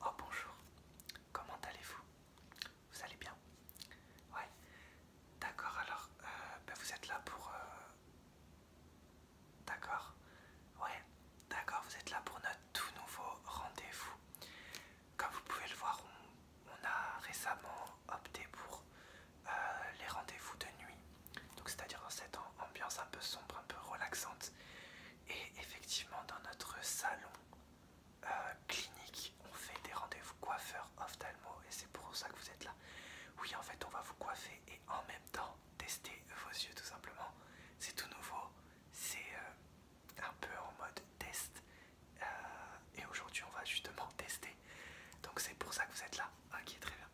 Oh bonjour, comment allez-vous Vous allez bien Ouais, d'accord, alors euh, ben, vous êtes là pour. Euh, d'accord Ouais, d'accord, vous êtes là pour notre tout nouveau rendez-vous. Comme vous pouvez le voir, on, a récemment opté pour euh, les rendez-vous de nuit. Donc c'est-à-dire dans cette ambiance un peu sombre, un peu relaxante. Et effectivement dans notre salon euh, clinique, on fait des rendez-vous coiffeurs ophtalmo et c'est pour ça que vous êtes là. Oui en fait on va vous coiffer et en même temps tester vos yeux tout simplement. C'est tout nouveau, c'est euh, un peu en mode test. Euh, et aujourd'hui on va justement tester. Donc c'est pour ça que vous êtes là. Ok très bien.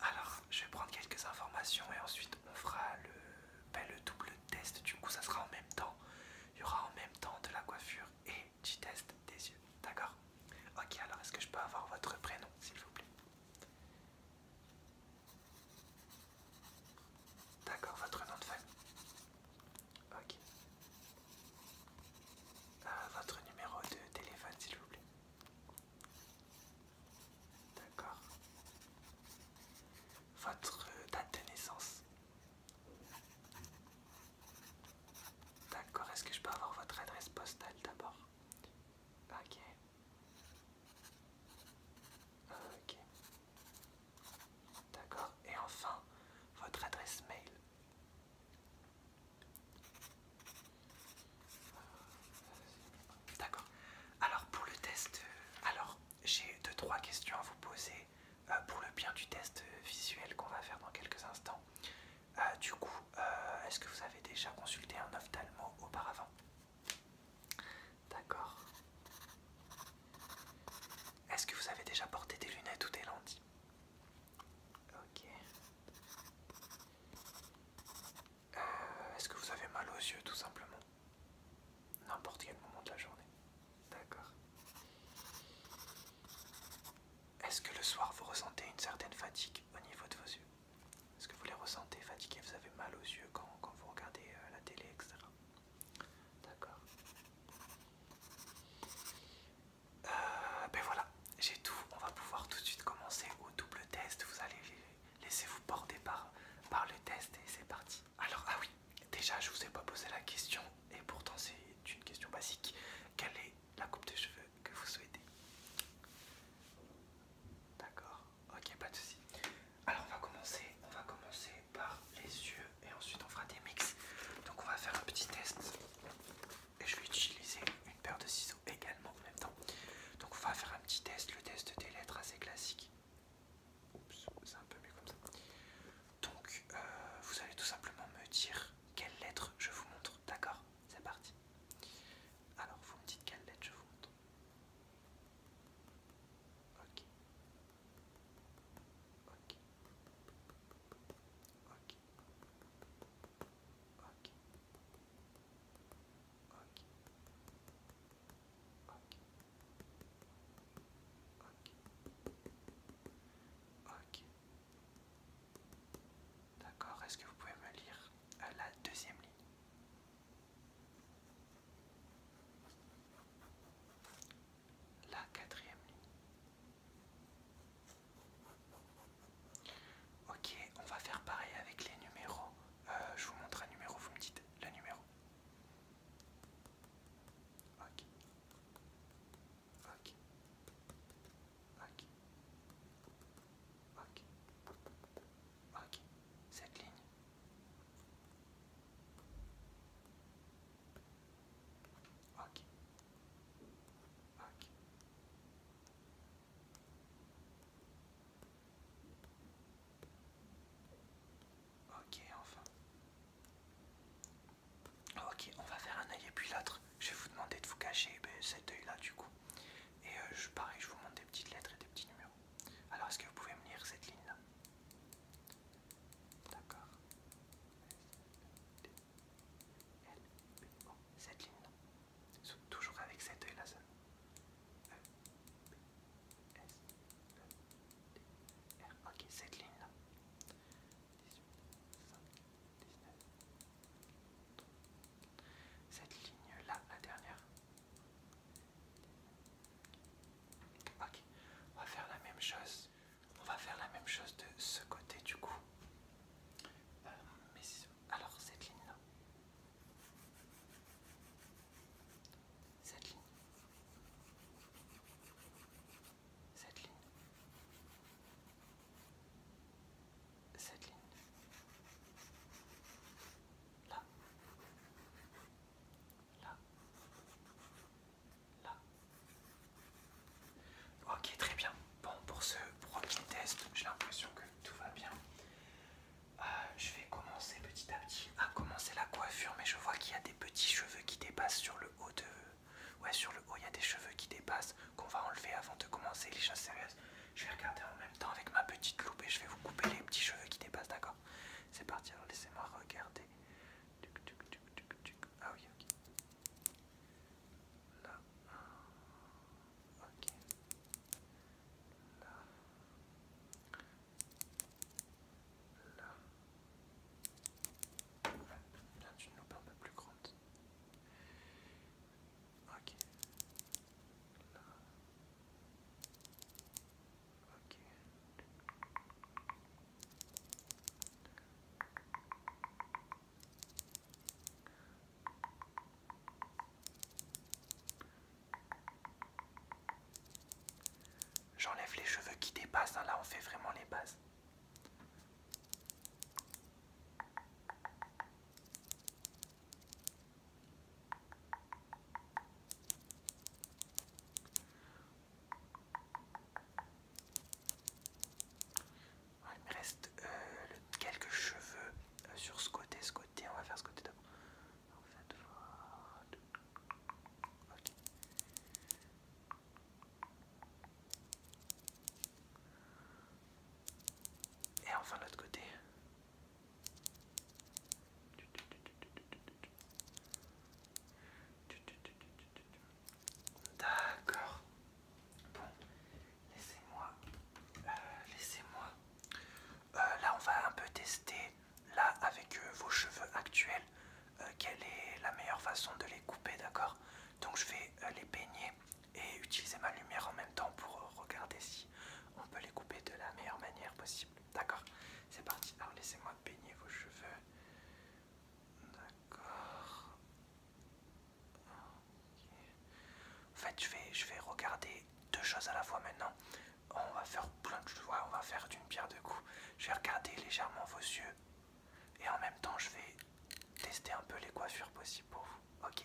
Alors, je vais prendre quelques informations et ensuite on fera le, ben, le double test. Du coup, ça sera en même temps. Il y aura en même temps de la coiffure et du test des yeux. D'accord Ok, alors est-ce que je peux avoir votre prénom, s'il vous plaît D'accord, votre nom de famille. Ok. Euh, votre numéro de téléphone, s'il vous plaît. D'accord. Votre euh, date de naissance. D'accord, est-ce que je peux avoir votre adresse postale d'abord Ok. Ok. D'accord. Et enfin, votre adresse mail. D'accord. Alors pour le test, euh, alors j'ai deux trois questions à vous poser euh, pour le bien du test euh, visuel qu'on va faire dans quelques instants. du coup, est-ce que vous avez déjà consulté un ophtalmo auparavant D'accord. Est-ce que vous avez déjà porté des lunettes ou des lentilles Ok. Euh, est-ce que vous avez mal aux yeux tout simplement N'importe quel moment de la journée. D'accord. Est-ce que le soir vous ressentez une certaine fatigue au niveau de vos yeux Est-ce que vous les ressentez fatigués Vous avez mal aux yeux quand, vous regardez euh, la télé, etc. D'accord. Euh, ben voilà, j'ai tout. On va pouvoir tout de suite commencer au double test. Vous allez laissez-vous porter par, par le test et c'est parti. Alors, ah oui, déjà, je vous ai pas posé la question et pourtant c'est une question basique. Quelle est la coupe de cheveux que vous souhaitez D'accord, ok, pas de soucis. Alors, on va commencer, va commencer par les yeux et ensuite on fera des mix. Donc, on va faire un petit test et je vais utiliser une paire de ciseaux également en même temps. Donc on va faire un petit test, le test des lettres assez classique. Oups, c'est un peu mieux comme ça. Donc euh, vous allez tout simplement me dire quelle lettre je vous montre, d'accord C'est parti. Alors vous me dites quelle lettre je vous montre. Ok. D'accord, est-ce que vous pouvez me lire euh, la deuxième ligne la quatrième ligne. Ok, on va faire pareil avec les numéros euh, je vous montre un numéro, vous me dites le numéro. Cette ligne. Ok, enfin. Ok, on va faire un œil et puis l'autre. Je vais vous demander de vous cacher ben, cet oeil là du coup. Et euh, je, pareil, je vous montre des petites lettres et des petits numéros. Alors, est-ce que vous pouvez me lire cette ligne-là D'accord. Cette ligne-là toujours avec cet œil là ça. E, S, E, R. Ok, cette ligne là. 18, 5, 19. Cette ligne là, la dernière. Ok, on va faire la même chose. On va faire la même chose de ce côté du coup. alors cette ligne là cette ligne, cette ligne, cette ligne, là, là, là. Ok, très bien. Bon, pour ce premier test, j'ai l'impression que tout va bien. Ah, je vais commencer petit à petit à commencer la coiffure, mais je vois qu'il y a des petits cheveux qui dépassent sur le haut de... Ouais, sur le haut, il y a des cheveux qui dépassent qu'on va enlever avant de commencer les choses sérieuses. Je vais regarder en même temps avec ma petite loupe et je vais vous couper les petits cheveux qui dépassent, d'accord C'est parti, alors laissez-moi regarder. Tuc, tuc, tuc, tuc, tuc. Ah oui, ok. Là. Ok là, là, bien d'une loupe un peu plus grande. Ok, là, ok. J'enlève les cheveux qui dépassent, hein, là on fait vraiment les bases. Il me reste euh, quelques cheveux euh, sur ce côté, ce côté, on va faire ce côté d'abord en Et enfin l'autre côté. D'accord. Bon, laissez-moi, euh, laissez-moi euh, là on va un peu tester là avec euh, vos cheveux actuels euh, quelle est la meilleure façon de les couper d'accord donc je vais les peigner et utiliser ma lumière en même temps pour regarder si on peut les couper de la meilleure manière possible d'accord c'est parti alors laissez moi peigner vos cheveux d'accord en fait, je vais, je vais regarder deux choses à la fois maintenant. On va faire plein de choses, on va faire d'une pierre deux coups. Je vais regarder légèrement vos yeux et en même temps, je vais tester un peu les coiffures possibles pour vous. Ok.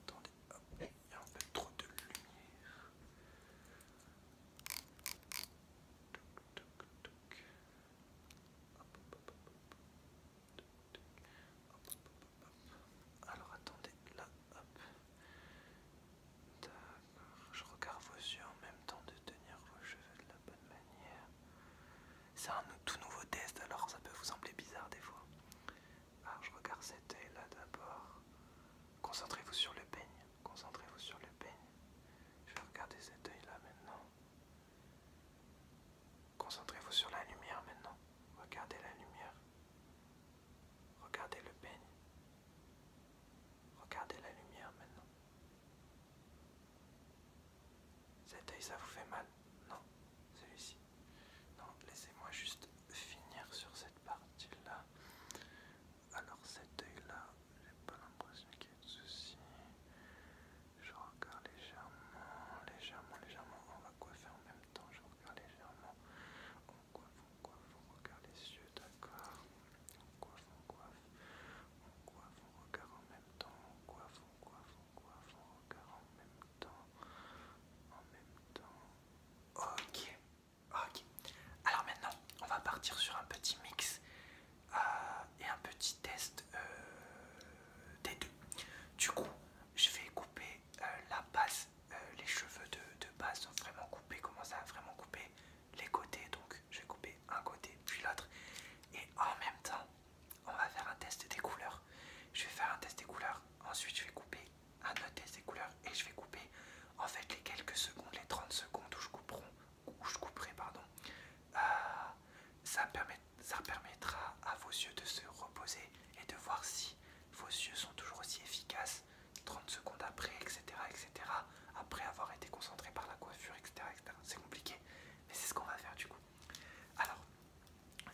Attendez, hop, il y a un peu trop de lumière. Alors attendez, là, hop. D'accord, je regarde vos yeux en même temps de tenir vos cheveux de la bonne manière. C'est un tout nouveau test, alors ça peut vous sembler bizarre des fois. Alors ah, je regarde cet œil là d'abord. Concentrez-vous sur le peigne. Concentrez-vous sur le peigne. Je vais regarder cet œil là maintenant. Concentrez-vous sur la lumière maintenant. Regardez la lumière. Regardez le peigne. Regardez la lumière maintenant. Cet œil, ça vous fait mal Non, celui-ci. Non, laissez-moi juste finir sur cette partie-là. Alors cet œil-là, j'ai pas l'impression qu'il y ait de soucis. Je regarde légèrement, légèrement, légèrement. On va coiffer en même temps. Je regarde légèrement. On coiffe, on coiffe, on regarde les yeux, d'accord. On coiffe, on coiffe. On coiffe, on regarde en même temps. On coiffe, en même temps, en même temps. Ok, ok. Alors maintenant, on va partir sur un petit mix euh, et un petit test euh, des deux. Du coup, je vais couper euh, la base, les cheveux de, base sont vraiment coupés, comment ça vraiment couper les côtés. Donc, je vais couper un côté puis l'autre. Et en même temps, on va faire un test des couleurs. Je vais faire un test des couleurs, ensuite je vais couper un autre test des couleurs et je vais couper en fait les quelques secondes, les 30 secondes où je couperai, pardon. Euh, ça, permettra à vos yeux de se reposer et de voir si vos yeux sont toujours aussi efficaces 30 secondes après, etc. etc. après avoir été concentré par la coiffure, etc. C'est compliqué, mais c'est ce qu'on va faire du coup. Alors,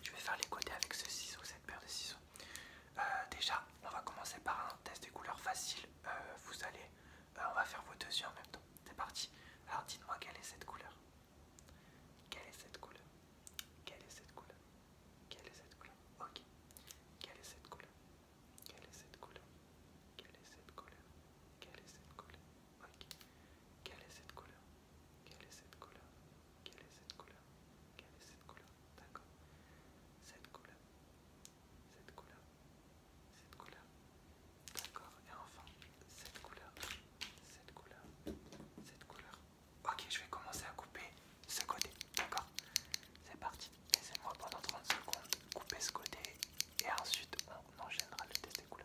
je vais faire les côtés avec ce ciseau, cette paire de ciseaux. Euh, déjà, on va commencer par un test de couleurs facile. Euh, vous allez, euh, on va faire vos deux yeux en même temps. C'est parti. Alors, dites-moi quelle est cette couleur Quelle est cette couleur Quelle est cette couleur Quelle est cette couleur Ok. Quelle est cette couleur Quelle est cette couleur Quelle est cette couleur Quelle est cette couleur Ok. Quelle est cette couleur Quelle est cette couleur Quelle est cette couleur Quelle est cette couleur D'accord. Cette couleur. Cette couleur. Cette couleur. D'accord. Et enfin, cette couleur. Cette couleur. Cette couleur. Ok, je vais commencer à couper ce côté. D'accord. C'est parti. Laissez-moi pendant 30 secondes couper ce côté et ensuite on enchaînera le test des couleurs.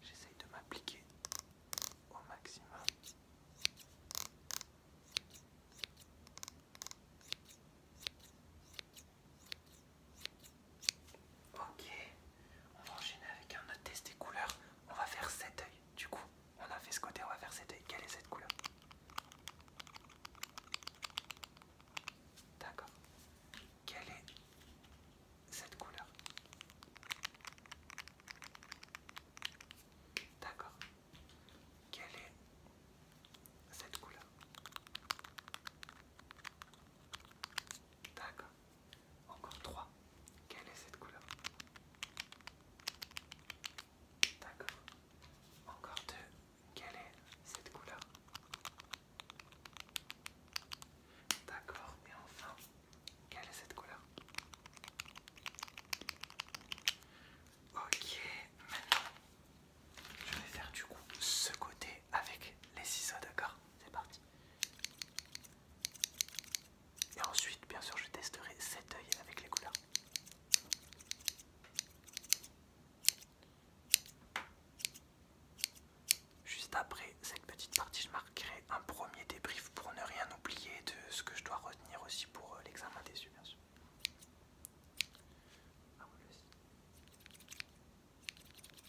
J'essaie de m'appliquer au maximum. Ok, on va enchaîner avec un autre test des couleurs. On va faire cet œil. Du coup, on a fait ce côté, on va faire cet œil. Quelle est cette couleur D'accord. Quelle est cette couleur D'accord. Quelle est cette couleur D'accord. Encore trois. Quelle est cette couleur D'accord. Encore deux. Quelle est cette couleur D'accord. Et enfin, quelle est cette couleur Ok, maintenant, je vais faire du coup ce côté avec les ciseaux, d'accord C'est parti. Et ensuite, bien sûr, je testerai cet œil avec les couleurs. Juste après cette petite partie, je marquerai un premier débrief pour ne rien oublier de ce que je dois retenir aussi pour euh, l'examen des yeux, bien sûr. Ah, такі,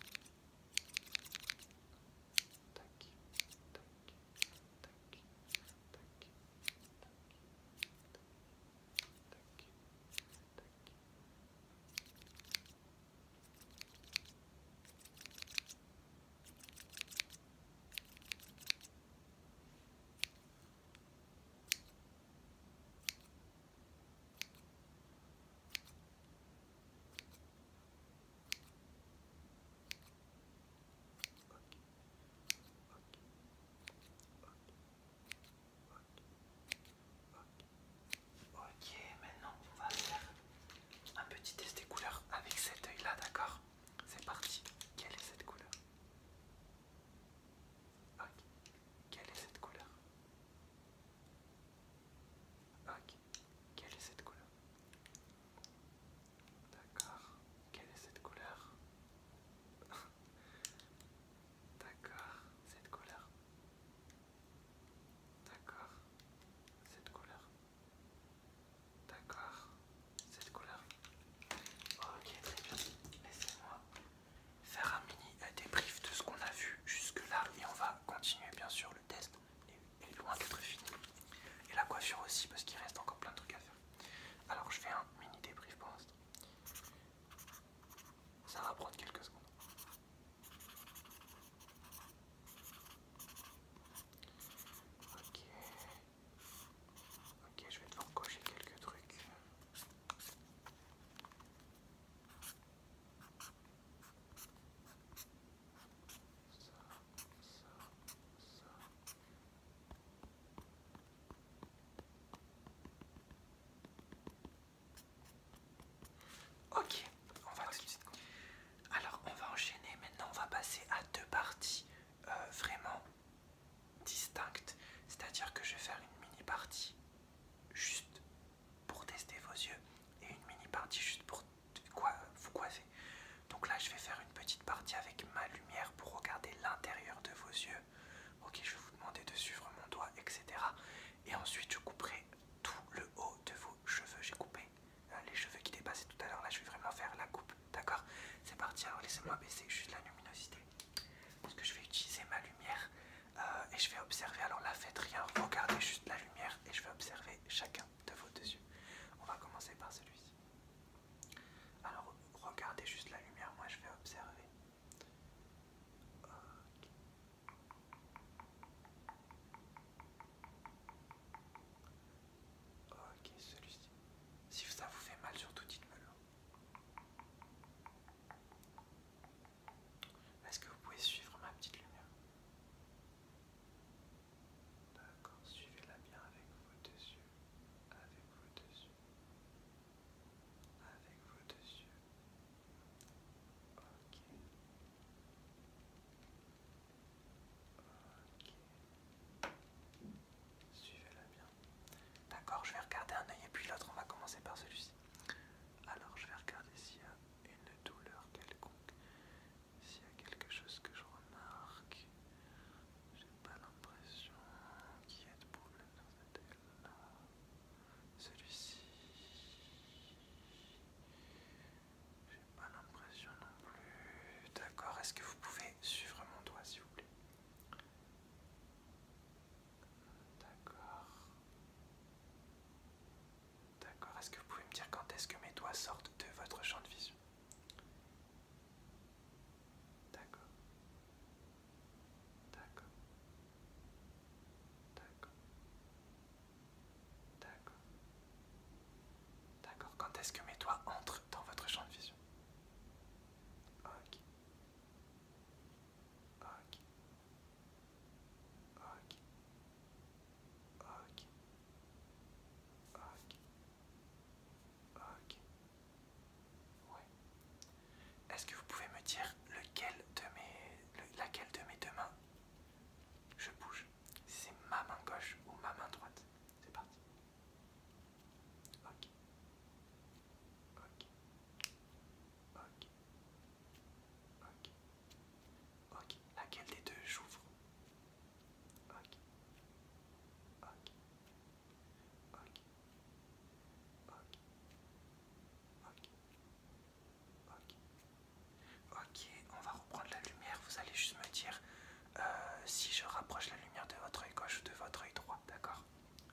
такі, такі, такі, такі, такі. Так, ok, maintenant on va faire un petit test des couleurs avec cet œil là, d'accord C'est parti, quelle est cette couleur Ok, quelle est cette couleur Ok, quelle est cette couleur D'accord, quelle est cette couleur D'accord, cette couleur. D'accord, cette couleur. D'accord, cette couleur. Ok, très bien. Laissez-moi faire un mini débrief de ce qu'on a vu jusque-là et on va continuer bien sûr test est loin d'être fini. Et la coiffure aussi, parce qu'il reste encore plein de trucs à faire. Alors je fais un mini débrief pour l'instant. Ça va prendre quelques secondes. Ok. Ok, je vais devoir cocher quelques trucs. Ok, on va Alors on va enchaîner maintenant, on va passer à deux parties euh, vraiment distinctes. C'est-à-dire que je vais faire une mini partie juste pour tester vos yeux et une mini partie juste pour quoi vous croiser. Donc là, je vais faire une petite partie avec ma lumière pour regarder l'intérieur de vos yeux. Ok, je vais vous demander de suivre mon doigt, etc. Et ensuite, je couperai tout le haut de vos cheveux. J'ai coupé euh, les cheveux qui dépassaient tout à l'heure. Là, je vais vraiment faire la coupe. D'accord C'est parti. Alors, hein. laissez-moi baisser juste la luminosité. Parce que je vais utiliser ma lumière euh, et je vais observer. Alors là, faites rien. Regardez juste la lumière et je vais observer chacun de vos deux yeux. On va commencer par celui-ci. Alors regardez juste la lumière, moi je vais observer. Ok, celui-ci. Si ça vous fait mal, surtout dites me moi. Est-ce que vous pouvez suivre ma petite lumière D'accord, suivez-la bien avec vos deux yeux, avec vos deux yeux, avec vos deux yeux. Ok. Ok. Suivez-la bien. D'accord, je vais regarder un œil et puis l'autre, on va commencer par celui-ci. Alors, je vais regarder s'il y a une douleur quelconque. S'il y a quelque chose que je remarque, j'ai pas l'impression qu'il y ait de problème dans cette aile-là. Celui-ci, j'ai pas l'impression non plus. D'accord, est-ce que vous pouvez suivre mon doigt s'il vous plaît D'accord. D'accord. Est-ce que vous pouvez me dire quand est-ce que mes doigts sortent de votre champ de vision D'accord. D'accord. D'accord. D'accord. Quand est-ce que mes doigts entrent dans votre champ de vision Ok. Ok. Ouais. Est-ce que vous pouvez me dire lequel de mes, laquelle de mes deux mains je bouge Si c'est ma main gauche ou ma main droite C'est parti. Ok. Ok. Ok. Ok. Ok. Laquelle des deux j'ouvre Ok. Ok. Ok. Ok. Ok. Ok. Ok, on va reprendre la lumière. Vous allez juste me dire euh, si je rapproche la lumière de votre œil gauche ou de votre œil droit. D'accord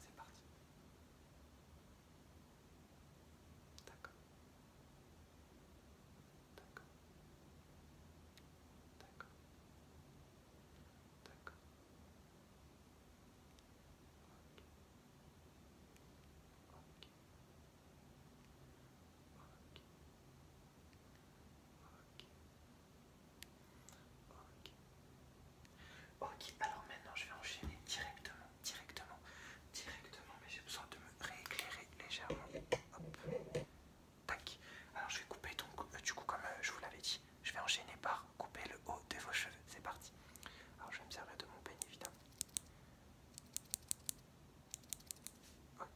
C'est parti. D'accord. Ok. Ok. Ok, alors maintenant je vais enchaîner directement directement, directement, mais j'ai besoin de me rééclairer légèrement. Tac. Alors je vais couper donc, euh, du coup comme euh, je vous l'avais dit, je vais enchaîner par couper le haut de vos cheveux. C'est parti. Alors je vais me servir de mon peigne évidemment. Ok.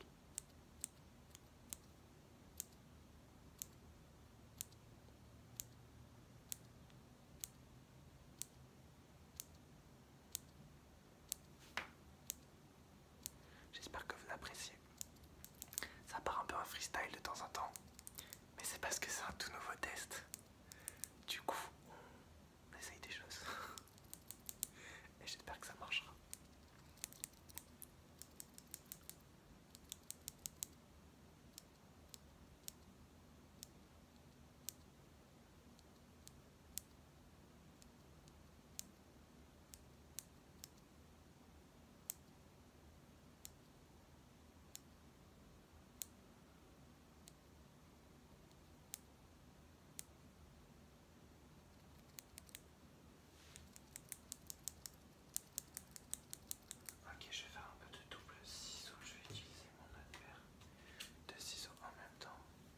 J'espère que vous l'appréciez. Ça part un peu un freestyle de temps en temps, mais c'est parce que c'est un tout nouveau test. Du coup, on essaye des choses. Et j'espère que ça marchera. Ok, je vais faire un peu de double ciseau, je vais utiliser mon autre de ciseaux en même temps.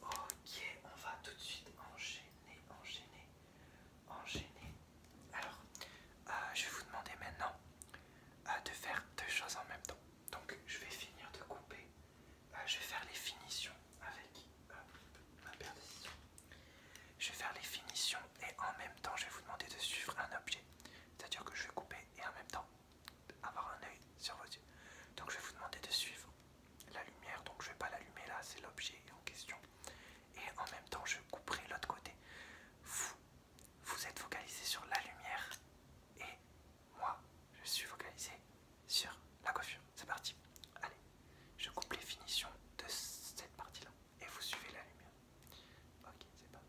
Ok, on va tout de suite enchaîner, enchaîner, enchaîner. Alors, euh, je vais vous demander maintenant euh, de faire deux choses en même temps. Donc, je vais finir de couper. Euh, je vais faire les finitions avec ma paire de Je vais faire les finitions et en même temps, je vais vous demander de suivre un objet. C'est-à-dire que je vais couper et en même temps avoir un œil sur vos yeux. Donc je vais vous demander de suivre la lumière. Donc je ne vais pas l'allumer là, c'est l'objet en question. Et en même temps, je couperai l'autre côté. Vous, vous êtes focalisé sur la lumière et moi, je suis focalisé sur la coiffure. C'est parti. Allez, je coupe les finitions de cette partie-là et vous suivez la lumière. Ok, c'est parti.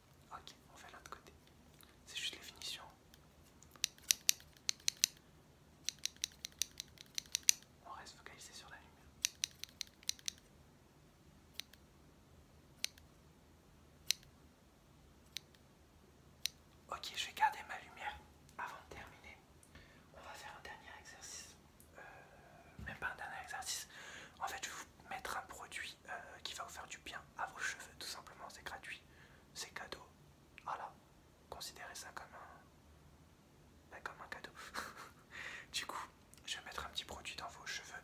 Ok, on fait l'autre côté. C'est juste les finitions. On reste focalisé sur la lumière. Ok, je vais garder ma lumière avant de terminer. On va faire un dernier exercice. Euh, même pas un dernier exercice. En fait, je vous mettre un produit euh, qui va vous faire du bien à vos cheveux, tout simplement, c'est gratuit, c'est cadeau. Voilà, considérez ça comme ben, comme un cadeau. du coup, je vais mettre un petit produit dans vos cheveux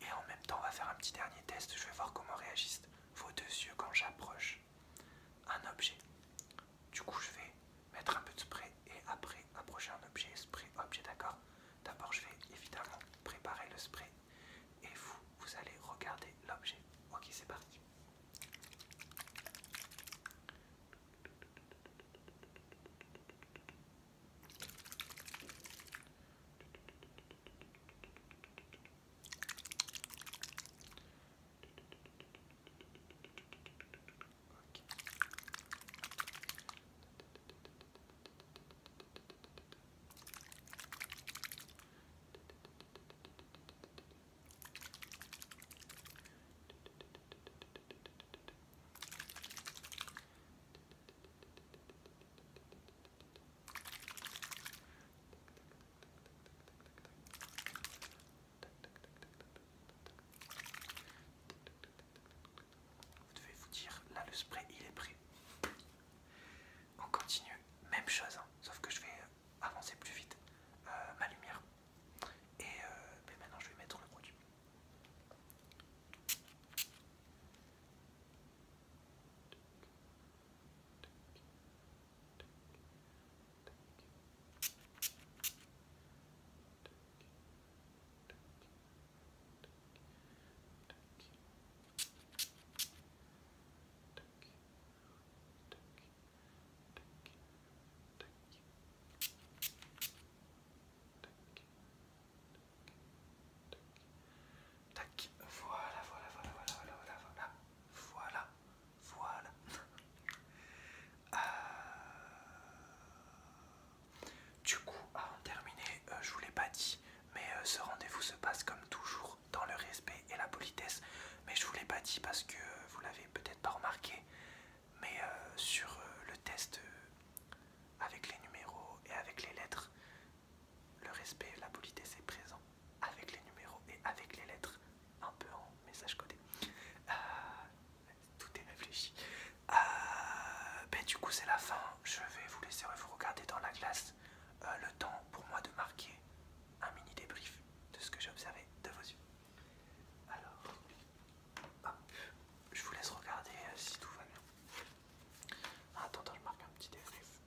et en même temps, on va faire un petit dernier test. Je vais voir comment réagissent vos deux yeux quand j'approche un objet. Du coup, je vais mettre un peu de spray et après approcher un objet, spray, objet, d'accord D'abord, je vais évidemment préparer le spray et vous, vous allez regarder l'objet. Ok, c'est parti. Vous devez vous dire, là le spray il est prêt. On continue, même chose, hein. sauf que je vais euh, avancer plus vite euh, ma lumière. Et euh, ben maintenant je vais mettre le produit. Tac, voilà, voilà, voilà, voilà, voilà, voilà, voilà, voilà. voilà. Euh, du coup, avant de terminer, euh, je vous l'ai pas dit, mais euh, ce rendez-vous se passe comme toujours dans le respect et la politesse. Mais je vous l'ai pas dit parce que euh, vous l'avez peut-être pas remarqué. Mais euh, sur le test avec les numéros et avec les lettres, le respect et la politesse est présent avec les numéros et avec les lettres, un peu en message codé. Ah, tout est réfléchi. Ah, ben, du coup c'est la fin. Je vais vous laisser vous regarder dans la glace. Euh, le temps pour moi de marquer un mini débrief de ce que j'ai observé de vos yeux. Alors, je vous laisse regarder euh, si tout va bien. Attends, je marque un petit débrief.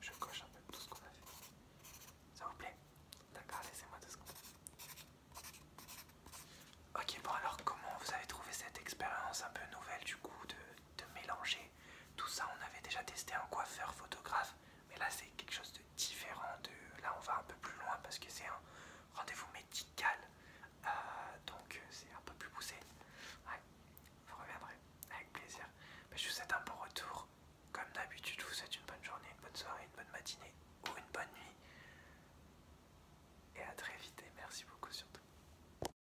Je coche un peu tout ce qu'on a fait. Ça vous plaît D'accord, laissez-moi deux secondes. Ok, bon alors comment vous avez trouvé cette expérience un peu nouvelle du coup de de mélanger. Tout ça, on avait déjà testé un coiffeur photographe, mais là c'est quelque chose de différent. De... Là, on va un peu plus loin parce que c'est un rendez-vous médical, euh, donc c'est un peu plus poussé. vous reviendrez avec plaisir. je vous souhaite un bon retour. Comme d'habitude, je vous souhaite une bonne journée, une bonne soirée, une bonne matinée ou une bonne nuit. Et à très vite merci beaucoup surtout.